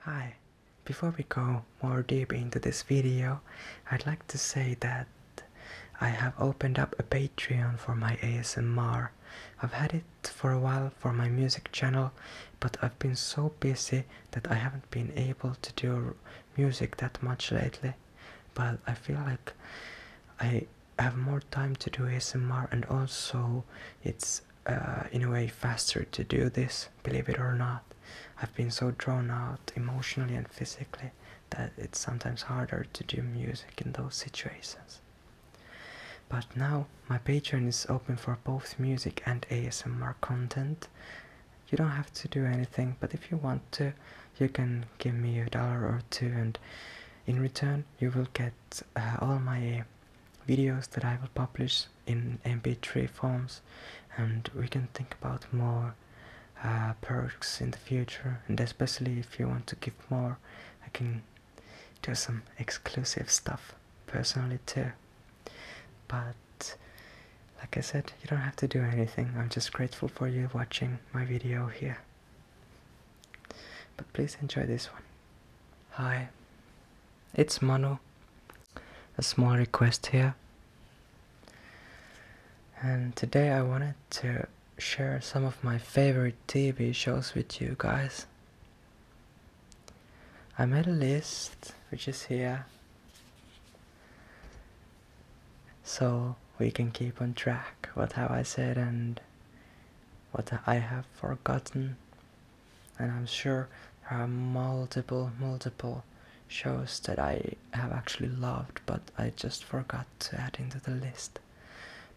Hi, before we go more deep into this video, I'd like to say that I have opened up a Patreon for my ASMR. I've had it for a while for my music channel, but I've been so busy that I haven't been able to do music that much lately. But I feel like I have more time to do ASMR and also it's uh, in a way faster to do this, believe it or not. I've been so drawn out emotionally and physically that it's sometimes harder to do music in those situations. But now my Patreon is open for both music and ASMR content. You don't have to do anything, but if you want to, you can give me a dollar or two, and in return, you will get uh, all my videos that I will publish in mp3 forms and we can think about more uh, perks in the future and especially if you want to give more I can do some exclusive stuff personally too but like I said you don't have to do anything I'm just grateful for you watching my video here but please enjoy this one Hi, it's Manu. A small request here. And today I wanted to share some of my favorite TV shows with you guys. I made a list which is here so we can keep on track what have I said and what I have forgotten and I'm sure there are multiple, multiple shows that I have actually loved, but I just forgot to add into the list.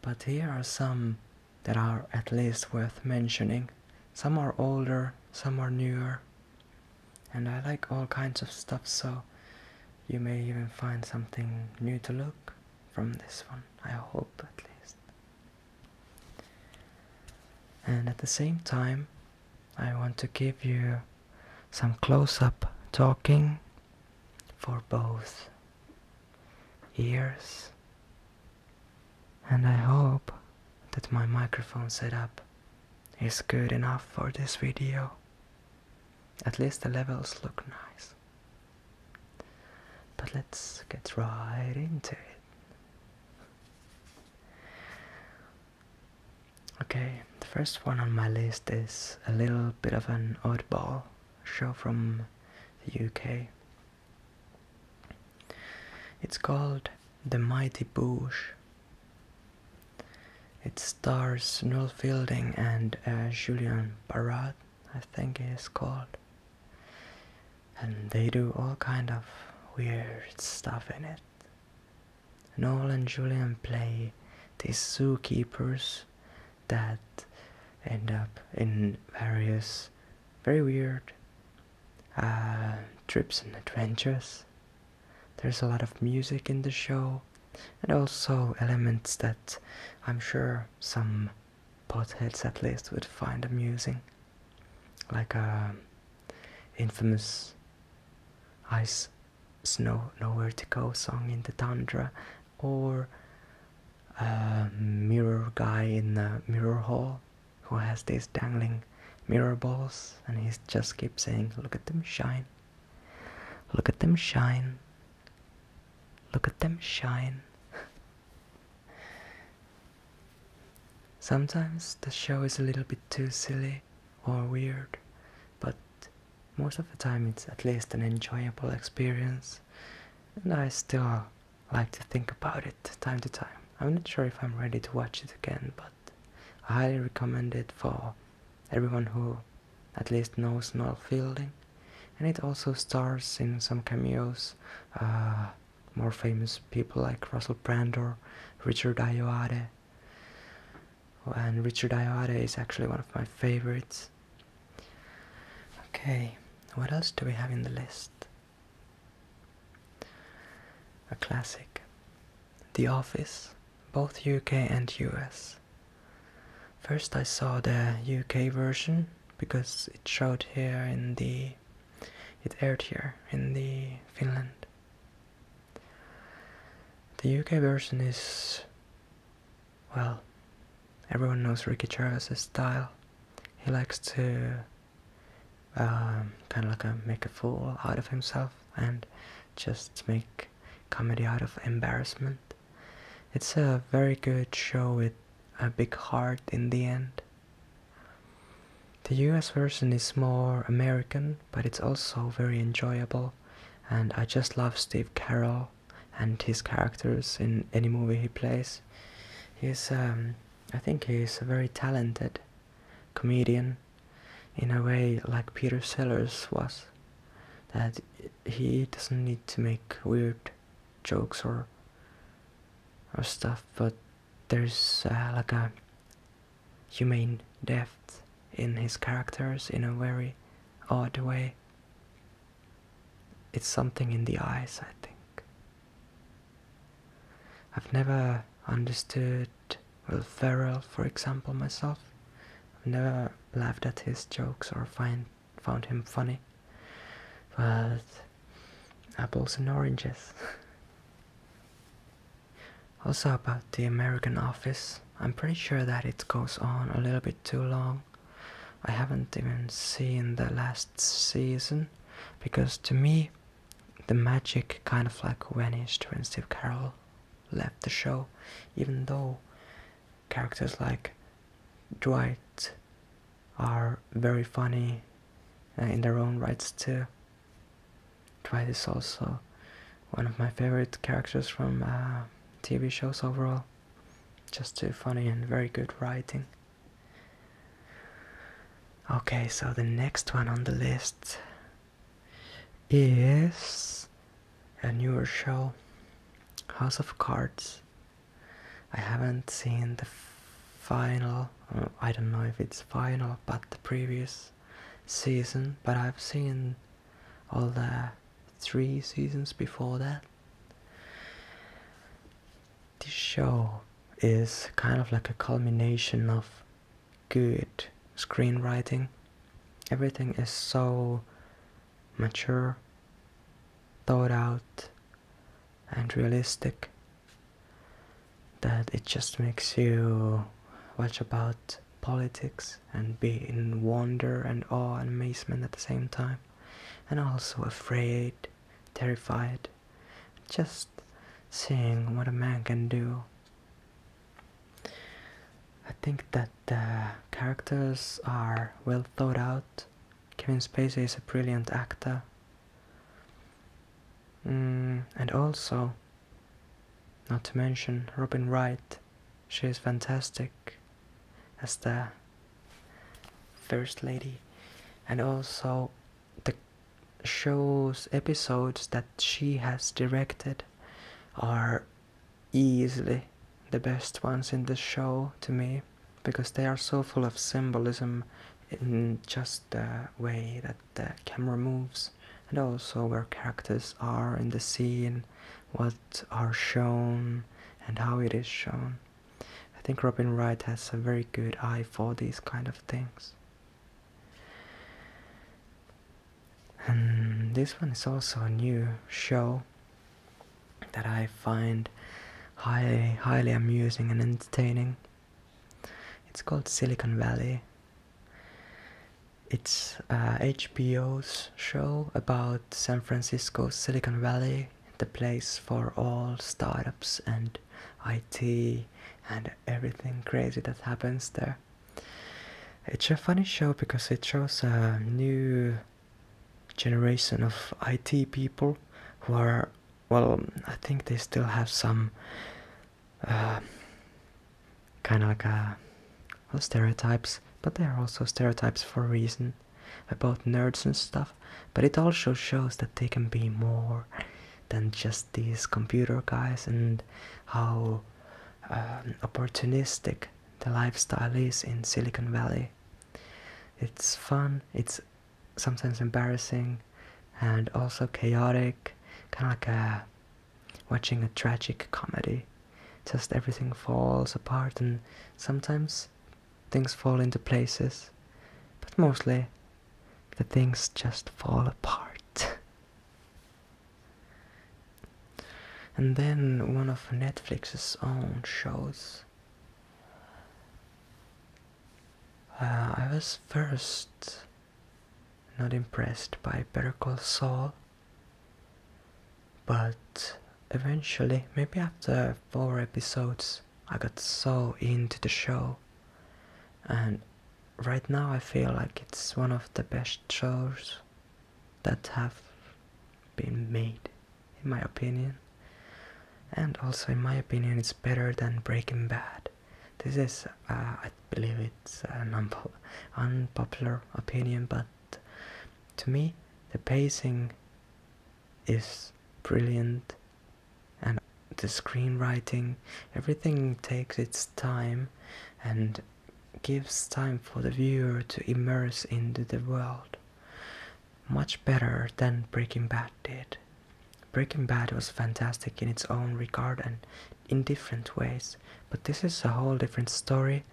But here are some that are at least worth mentioning. Some are older, some are newer, and I like all kinds of stuff, so you may even find something new to look from this one, I hope at least. And at the same time, I want to give you some close up talking for both ears. And I hope that my microphone setup is good enough for this video. At least the levels look nice. But let's get right into it. Okay, the first one on my list is a little bit of an oddball show from the UK. It's called The Mighty Boosh. It stars Noel Fielding and uh, Julian Barratt. I think it is called and they do all kind of weird stuff in it. Noel and Julian play these zookeepers that end up in various very weird uh, trips and adventures. There's a lot of music in the show and also elements that I'm sure some potheads at least would find amusing like a infamous ice snow nowhere to go song in the tundra or a mirror guy in the mirror hall who has these dangling mirror balls and he just keeps saying look at them shine look at them shine look at them shine Sometimes the show is a little bit too silly or weird, but most of the time it's at least an enjoyable experience, and I still like to think about it time to time. I'm not sure if I'm ready to watch it again, but I highly recommend it for everyone who at least knows Noel Fielding. And it also stars in some cameos. Uh, more famous people like Russell Brand or Richard Ayoade. And Richard Ayoade is actually one of my favorites. Okay, what else do we have in the list? A classic. The Office, both UK and US. First I saw the UK version because it showed here in the it aired here in the Finland. The UK version is well, everyone knows Ricky Gervais' style. He likes to um, kind of like a, uh, make a fool out of himself and just make comedy out of embarrassment. It's a very good show with a big heart in the end. The US version is more American, but it's also very enjoyable, and I just love Steve Carroll and his characters in any movie he plays. He's, um, I think he's a very talented comedian, in a way like Peter Sellers was, that he doesn't need to make weird jokes or or stuff, but there's uh, like a humane depth in his characters in a very odd way. It's something in the eyes, I think. I've never understood Will Ferrell, for example, myself. I've never laughed at his jokes or find, found him funny. But apples and oranges. also about the American office, I'm pretty sure that it goes on a little bit too long. I haven't even seen the last season because to me the magic kind of like vanished when Steve Carroll left the show, even though characters like Dwight are very funny uh, in their own rights too. Dwight is also one of my favorite characters from uh, TV shows overall. Just too funny and very good writing. Okay, so the next one on the list is a newer show, House of Cards. I haven't seen the final, I don't know if it's final, but the previous season, but I've seen all the three seasons before that. This show is kind of like a culmination of good screenwriting. Everything is so mature, thought out, and realistic that it just makes you watch about politics and be in wonder and awe and amazement at the same time and also afraid terrified just seeing what a man can do i think that the characters are well thought out kevin spacey is a brilliant actor Mm, and also, not to mention Robin Wright, she is fantastic as the First Lady, and also the show's episodes that she has directed are easily the best ones in the show to me because they are so full of symbolism in just the way that the camera moves and also where characters are in the scene, what are shown and how it is shown. I think Robin Wright has a very good eye for these kind of things. And this one is also a new show that I find highly highly amusing and entertaining. It's called Silicon Valley. It's HBO's uh, show about San Francisco, Silicon Valley, the place for all startups and IT and everything crazy that happens there. It's a funny show because it shows a new generation of IT people who are, well, I think they still have some uh, kind of like uh, stereotypes, but they are also stereotypes for a reason about nerds and stuff. But it also shows that they can be more than just these computer guys and how um, opportunistic the lifestyle is in Silicon Valley. It's fun, it's sometimes embarrassing and also chaotic, kind of like a, watching a tragic comedy. Just everything falls apart, and sometimes things fall into places, but mostly the things just fall apart. and then one of Netflix's own shows. Uh, I was first not impressed by Better Call Saul, but eventually, maybe after four episodes, I got so into the show, and right now I feel like it's one of the best shows that have been made, in my opinion. And also, in my opinion, it's better than Breaking Bad. This is, I believe it's an unpo unpopular opinion, but to me, the pacing is brilliant and the screenwriting, everything takes its time and gives time for the viewer to immerse into the world. Much better than Breaking Bad did. Breaking Bad was fantastic in its own regard and in different ways, but this is a whole different story,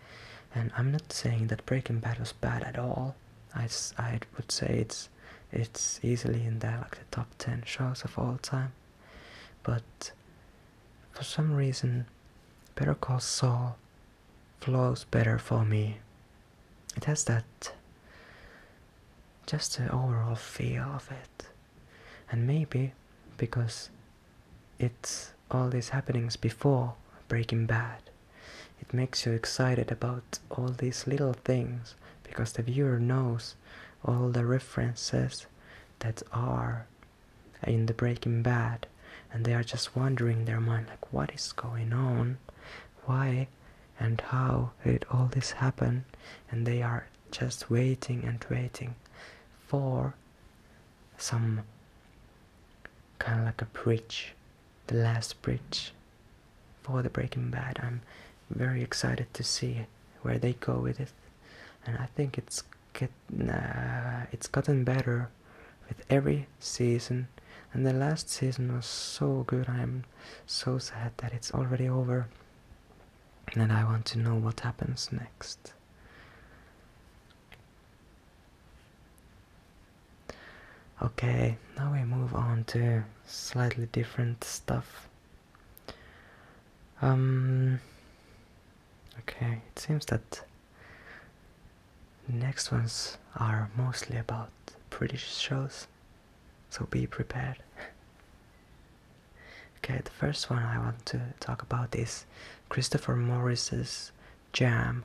and I'm not saying that Breaking Bad was bad at all. I, I would say it's it's easily in there like the top 10 shows of all time, but for some reason, Better Call Saul flows better for me. It has that just the overall feel of it and maybe because it's all these happenings before Breaking Bad, it makes you excited about all these little things because the viewer knows all the references that are in the Breaking Bad and they are just wondering in their mind like what is going on why and how did all this happen and they are just waiting and waiting for some kind of like a bridge, the last bridge for the Breaking Bad. I'm very excited to see where they go with it, and I think it's get it's gotten better with every season. And the last season was so good. I'm so sad that it's already over and I want to know what happens next. Okay, now we move on to slightly different stuff. Um, okay, it seems that next ones are mostly about British shows, so be prepared. Okay, the first one I want to talk about is Christopher Morris's Jam.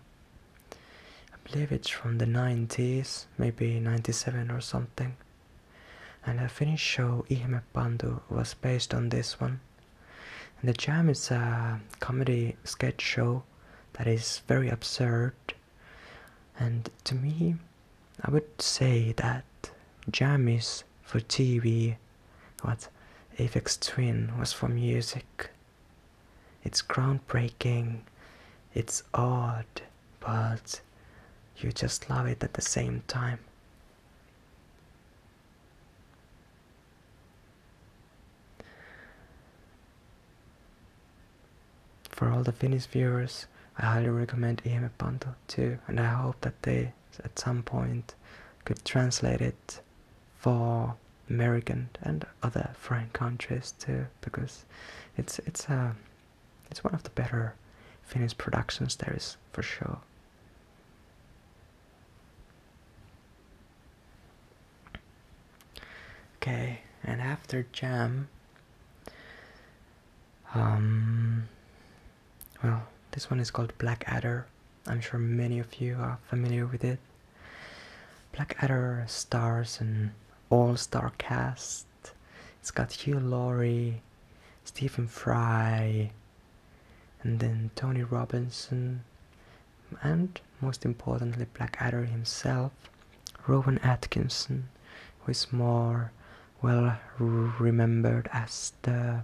I believe it's from the 90s, maybe 97 or something. And the Finnish show Ihme was based on this one. And the Jam is a comedy sketch show that is very absurd. And to me, I would say that Jam is for TV what Avex Twin was for music. It's groundbreaking, it's odd, but you just love it at the same time. For all the Finnish viewers, I highly recommend EMF Bundle too, and I hope that they at some point could translate it for American and other foreign countries too, because it's it's a uh, it's one of the better Finnish productions there is for sure. Okay, and after jam, um, well, this one is called Blackadder. I'm sure many of you are familiar with it. Blackadder stars an all-star cast. It's got Hugh Laurie, Stephen Fry, and then Tony Robinson, and most importantly, Blackadder himself, Rowan Atkinson, who is more well remembered as the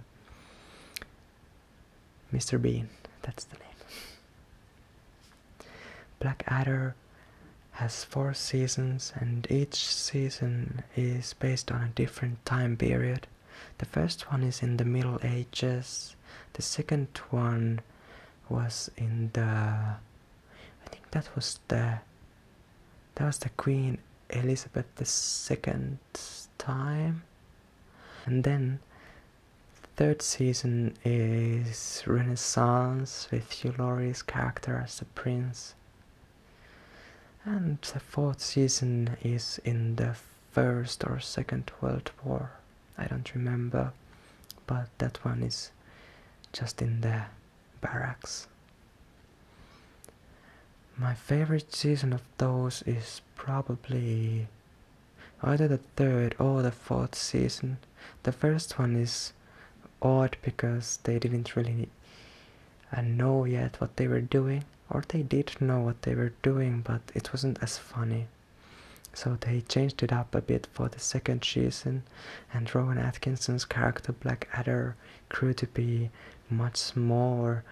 Mr. Bean. That's the name. Blackadder has four seasons, and each season is based on a different time period. The first one is in the Middle Ages. The second one was in the. I think that was the that was the Queen Elizabeth II's time. And then third season is Renaissance with Hugh Laurie's character as the prince. And the fourth season is in the first or second world war. I don't remember, but that one is just in there barracks. My favorite season of those is probably either the third or the fourth season. The first one is odd because they didn't really uh, know yet what they were doing, or they did know what they were doing, but it wasn't as funny. So they changed it up a bit for the second season, and Rowan Atkinson's character Blackadder grew to be much more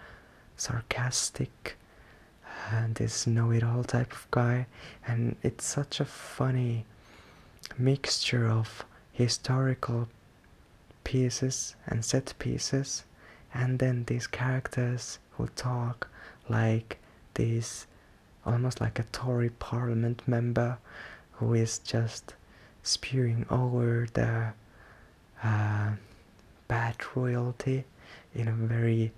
sarcastic and this know-it-all type of guy and it's such a funny mixture of historical pieces and set pieces and then these characters who talk like this almost like a Tory parliament member who is just spewing over the uh, bad royalty in a very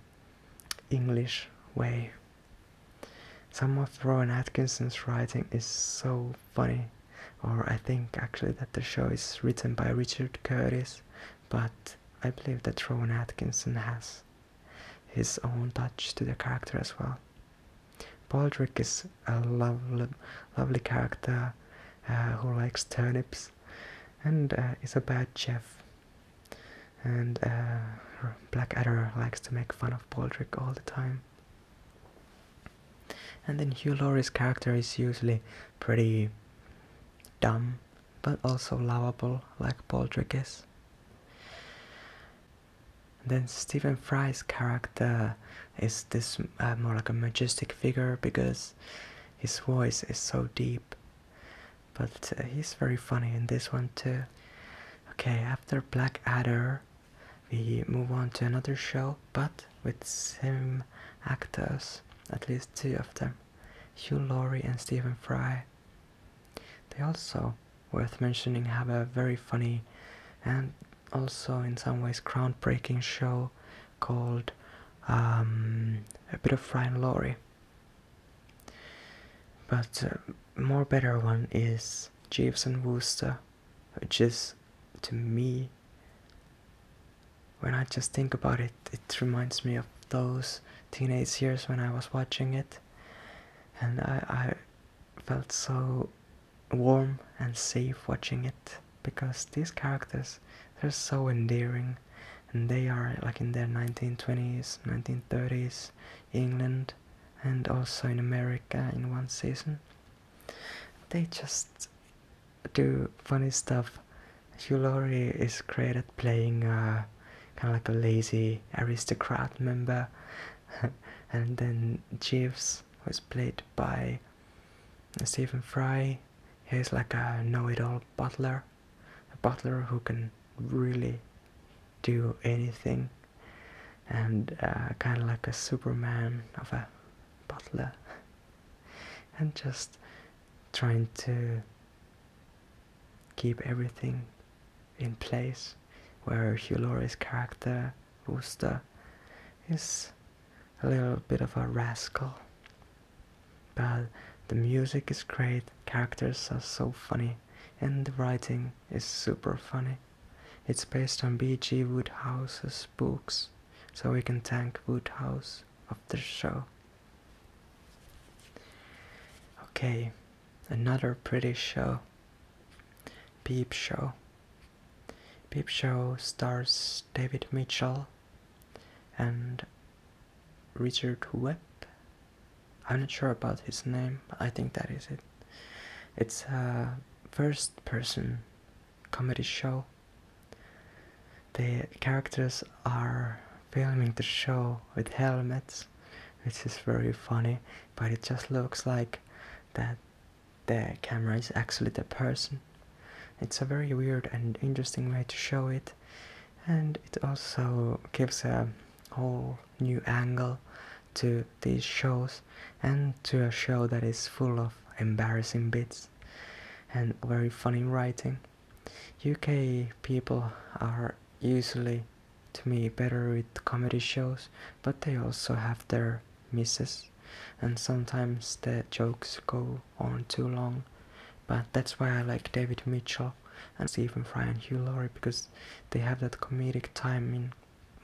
English way. Some of Rowan Atkinson's writing is so funny, or I think actually that the show is written by Richard Curtis, but I believe that Rowan Atkinson has his own touch to the character as well. Baldric is a lovely, lovely character uh, who likes turnips and uh, is a bad chef. And uh, Blackadder likes to make fun of Baldric all the time. And then Hugh Laurie's character is usually pretty dumb, but also lovable, like Baldric is. And then Stephen Fry's character is this uh, more like a majestic figure because his voice is so deep. But uh, he's very funny in this one too. Okay, after Blackadder, we move on to another show, but with some actors, at least two of them, Hugh Laurie and Stephen Fry. They also, worth mentioning, have a very funny and also in some ways groundbreaking show called um, a bit of Fry and Laurie. But uh, more better one is Jeeves and Wooster, which is to me, when I just think about it, it reminds me of those teenage years when I was watching it, and I, I felt so warm and safe watching it because these characters they're so endearing and they are like in their 1920s 1930s england and also in america in one season they just do funny stuff Hugh Laurie is great at playing uh, kind of like a lazy aristocrat member and then jeeves was played by Stephen Fry, he's like a know-it-all butler, a butler who can really do anything, and uh, kind of like a Superman of a butler, and just trying to keep everything in place. Where Hugh Laurie's character Rooster is a little bit of a rascal. But the music is great, characters are so funny, and the writing is super funny. It's based on B.G. Woodhouse's books, so we can thank Woodhouse after the show. Okay, another pretty show. Peep Show. Peep Show stars David Mitchell and Richard Webb. I'm not sure about his name, I think that is it. It's a first person comedy show. The characters are filming the show with helmets, which is very funny, but it just looks like that the camera is actually the person. It's a very weird and interesting way to show it, and it also gives a whole new angle to these shows and to a show that is full of embarrassing bits and very funny writing. UK people are usually to me better with comedy shows, but they also have their misses and sometimes the jokes go on too long. But that's why I like David Mitchell and Stephen Fry and Hugh Laurie because they have that comedic timing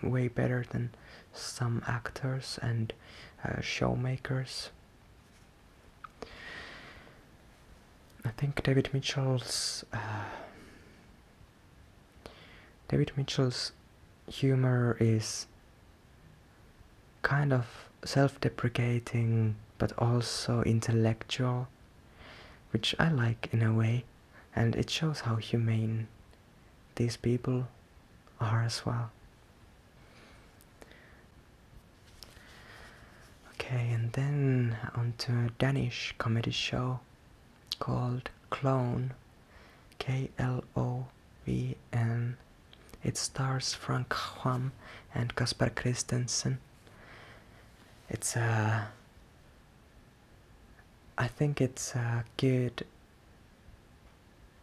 way better than some actors and uh, showmakers. I think David Mitchell's uh, David Mitchell's humor is kind of self deprecating but also intellectual, which I like in a way, and it shows how humane these people are as well. Okay, and then onto a Danish comedy show called Clone, K L O VN. It stars Frank Ham and Kasper Christensen. It's a. Uh, I think it's a good.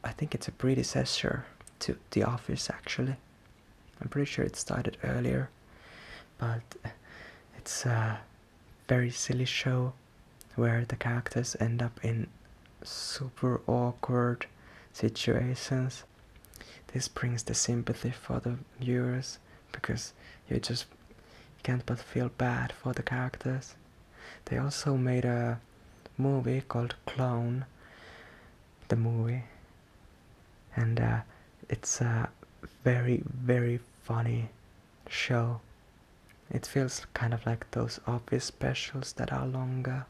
I think it's a predecessor to The Office actually. I'm pretty sure it started earlier, but it's a very silly show where the characters end up in super awkward situations. This brings the sympathy for the viewers because you just can't but feel bad for the characters. They also made a movie called Clone, the movie, and uh, it's a very, very funny show. It feels kind of like those office specials that are longer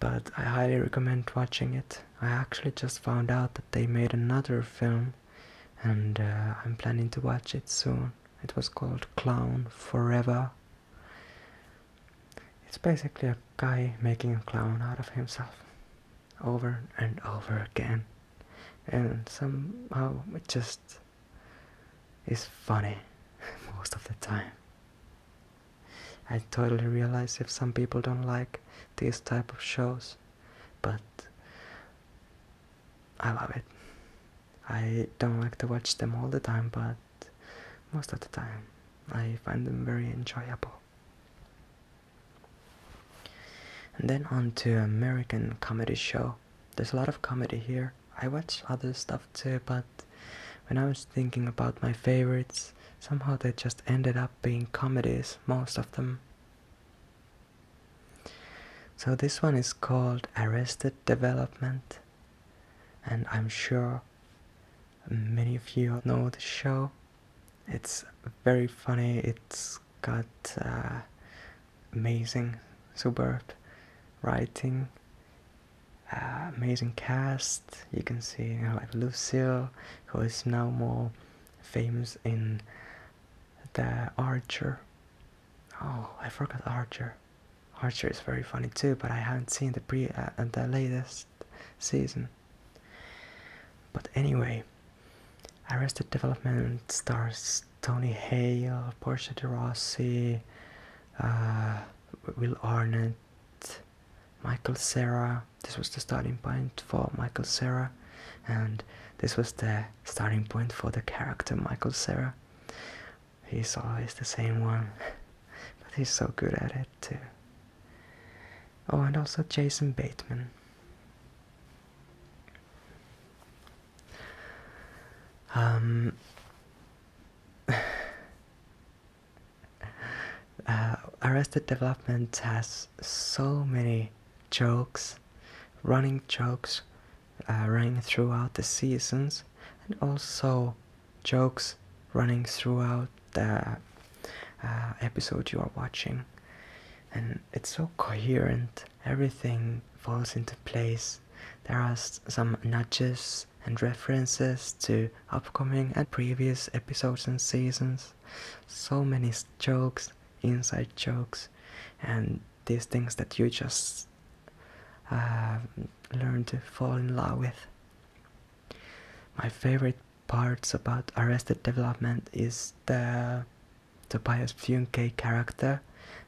but I highly recommend watching it. I actually just found out that they made another film and uh, I'm planning to watch it soon. It was called Clown Forever. It's basically a guy making a clown out of himself over and over again, and somehow it just it's funny most of the time. I totally realize if some people don't like these type of shows, but I love it. I don't like to watch them all the time, but most of the time I find them very enjoyable. And then on to American comedy show. There's a lot of comedy here, I watch other stuff too, but when I was thinking about my favorites, somehow they just ended up being comedies, most of them. So this one is called Arrested Development, and I'm sure many of you know the show. It's very funny, it's got uh, amazing, superb writing, uh, amazing cast. You can see like Lucille, who is now more famous in The Archer. Oh, I forgot Archer. Archer is very funny too, but I haven't seen the pre uh, uh the latest season. But anyway, Arrested Development stars Tony Hale, Portia de Rossi, uh, Will Arnett, Michael Serra. This was the starting point for Michael Serra, and this was the starting point for the character Michael Serra. He's always the same one, but he's so good at it too. Oh, and also Jason Bateman. Uh, Arrested Development has so many jokes, running jokes uh, running throughout the seasons, and also jokes running throughout the uh, episode you are watching. And it's so coherent, everything falls into place. There are some nudges, and references to upcoming and previous episodes and seasons. So many jokes, inside jokes, and these things that you just uh, learn to fall in love with. My favorite parts about Arrested Development is the Tobias Funke character,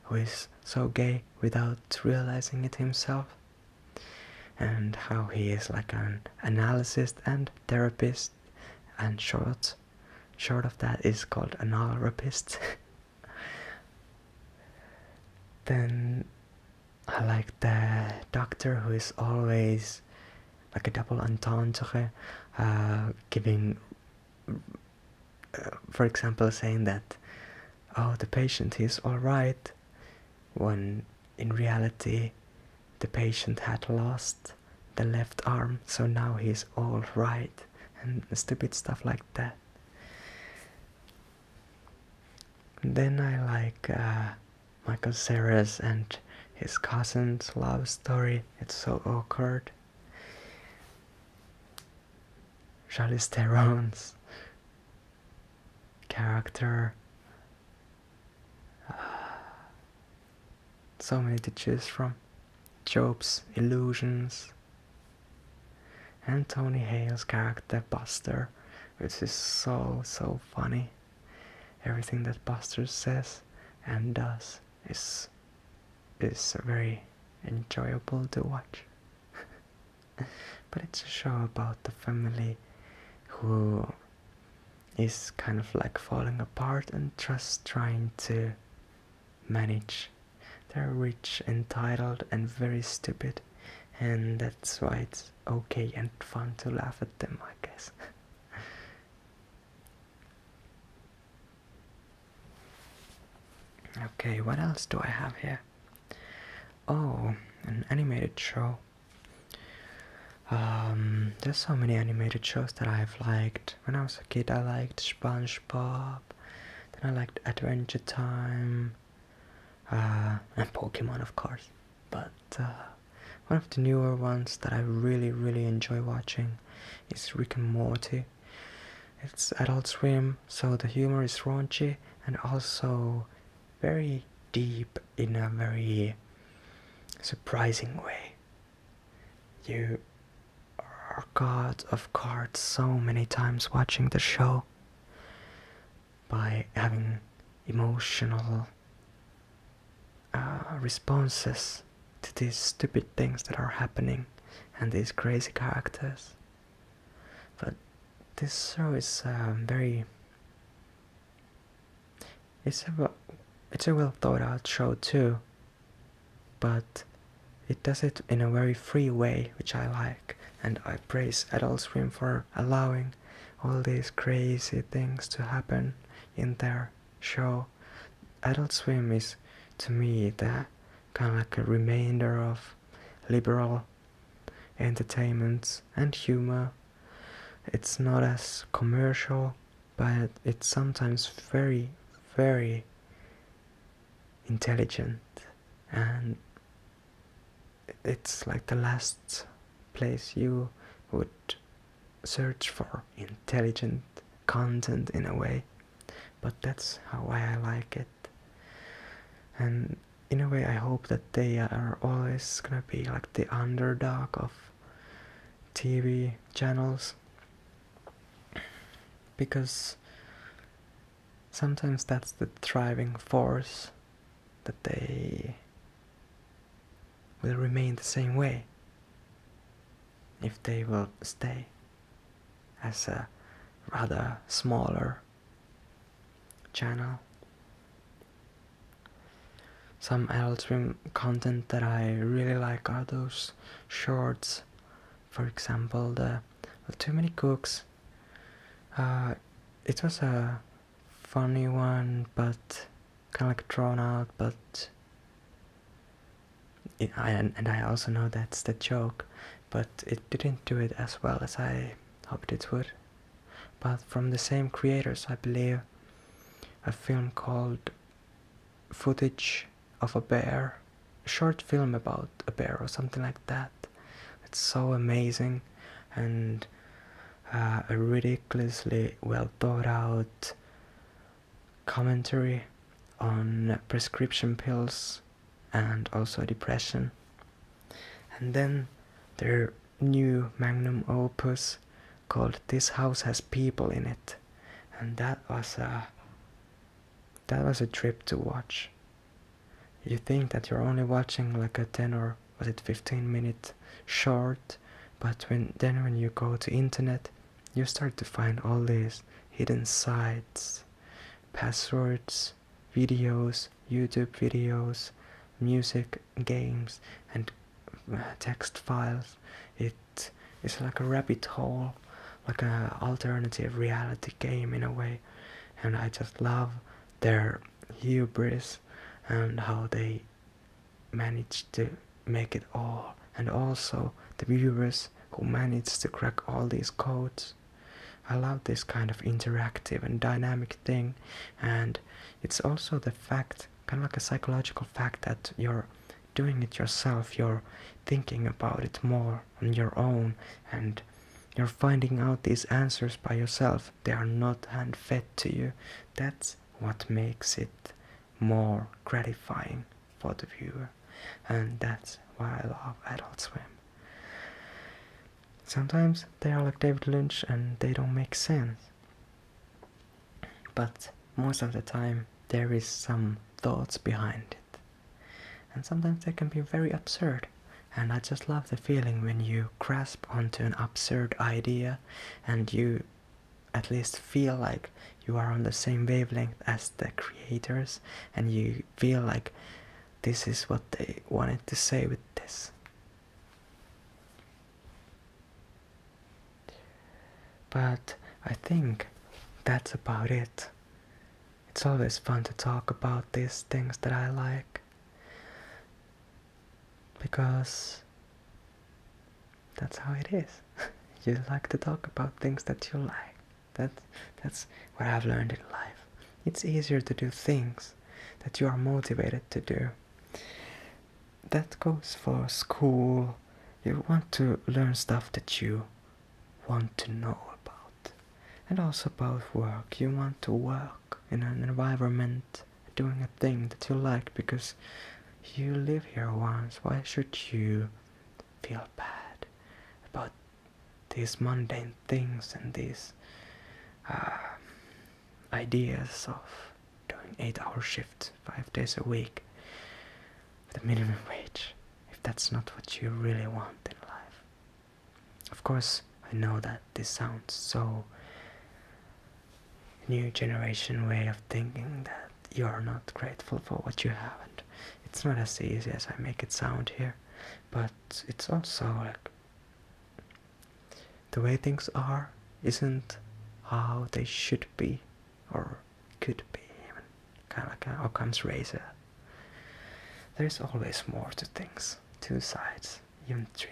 who is so gay without realizing it himself and how he is like an analyst and therapist and short short of that is called analrapist then I like the doctor who is always like a double entendre uh, giving uh, for example saying that oh the patient is all right when in reality the patient had lost the left arm, so now he's all right and stupid stuff like that. Then I like uh, Michael Cera's and his cousin's love story. It's so awkward. Charlize Theron's character. Ah, so many to choose from. Job's Illusions. And Tony Hale's character Buster, which is so, so funny. Everything that Buster says and does is, is very enjoyable to watch. but it's a show about the family who is kind of like falling apart and just trying to manage. They're rich, entitled, and very stupid, and that's why it's okay and fun to laugh at them, I guess. okay, what else do I have here? Oh, an animated show. Um, there's so many animated shows that I've liked. When I was a kid, I liked SpongeBob. Then I liked Adventure Time. Uh, and Pokemon, of course. But uh, one of the newer ones that I really, really enjoy watching is Rick and Morty. It's Adult Swim, so the humor is raunchy and also very deep in a very surprising way. You are god of cards so many times watching the show by having emotional uh, responses to these stupid things that are happening and these crazy characters. But this show is um, very. It's a, it's a well thought out show too, but it does it in a very free way, which I like, and I praise Adult Swim for allowing all these crazy things to happen in their show. Adult Swim is, to me, the kind of like a remainder of liberal entertainment and humor. It's not as commercial, but it's sometimes very, very intelligent and it's like the last place you would search for intelligent content in a way but that's how I like it and in a way i hope that they are always gonna be like the underdog of tv channels because sometimes that's the thriving force that they will remain the same way if they will stay as a rather smaller channel. Some adult swim content that I really like are those shorts, for example, the Too Many Cooks. Uh, it was a funny one, but kind of like drawn out, but it, and I also know that's the joke but it didn't do it as well as I hoped it would. But from the same creators, I believe, a film called Footage of a Bear, short film about a bear or something like that. It's so amazing and uh, a ridiculously well thought out commentary on prescription pills and also depression and then their new magnum opus called This House Has People in It. And that was a that was a trip to watch. You think that you're only watching like a 10 or was it 15 minute short, but when then when you go to internet, you start to find all these hidden sites, passwords, videos, YouTube videos, music, games, and uh, text files. It is like a rabbit hole, like an alternative reality game in a way. And I just love their hubris and how they manage to make it all. And also the viewers who manage to crack all these codes I love this kind of interactive and dynamic thing, and it's also the fact, kind of like a psychological fact, that you're doing it yourself, you're thinking about it more on your own, and you're finding out these answers by yourself. They are not hand fed to you. That's what makes it more gratifying for the viewer, and that's why I love Adult Swim sometimes they are like David Lynch and they don't make sense. But most of the time, there is some thoughts behind it. And sometimes they can be very absurd. And I just love the feeling when you grasp onto an absurd idea and you at least feel like you are on the same wavelength as the creators and you feel like this is what they wanted to say with this. But I think that's about it. It's always fun to talk about these things that I like because that's how it is. you like to talk about things that you like. That that's what I've learned in life. It's easier to do things that you are motivated to do. That goes for school. You want to learn stuff that you want to know about. And also about work. You want to work in an environment doing a thing that you like because you live here once. Why should you feel bad about this mundane things and these uh, ideas of doing eight-hour shifts five days a week the minimum wage if that's not what you really want in life of course i know that this sounds so new generation way of thinking that you are not grateful for what you have and it's not as easy as i make it sound here but it's also like the way things are isn't how they should be or could be even kind of like an Occam's razor there's always more to things two sides even three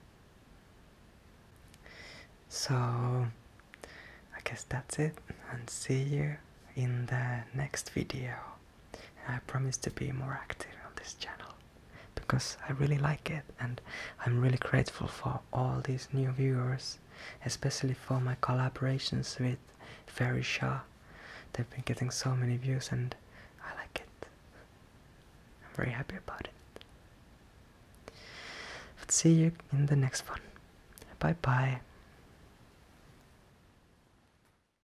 so I guess that's it and see you in the next video I promise to be more active on this channel because I really like it and I'm really grateful for all these new viewers, especially for my collaborations with Ferry They've been getting so many views and I like it. I'm very happy about it. But see you in the next one. Bye bye.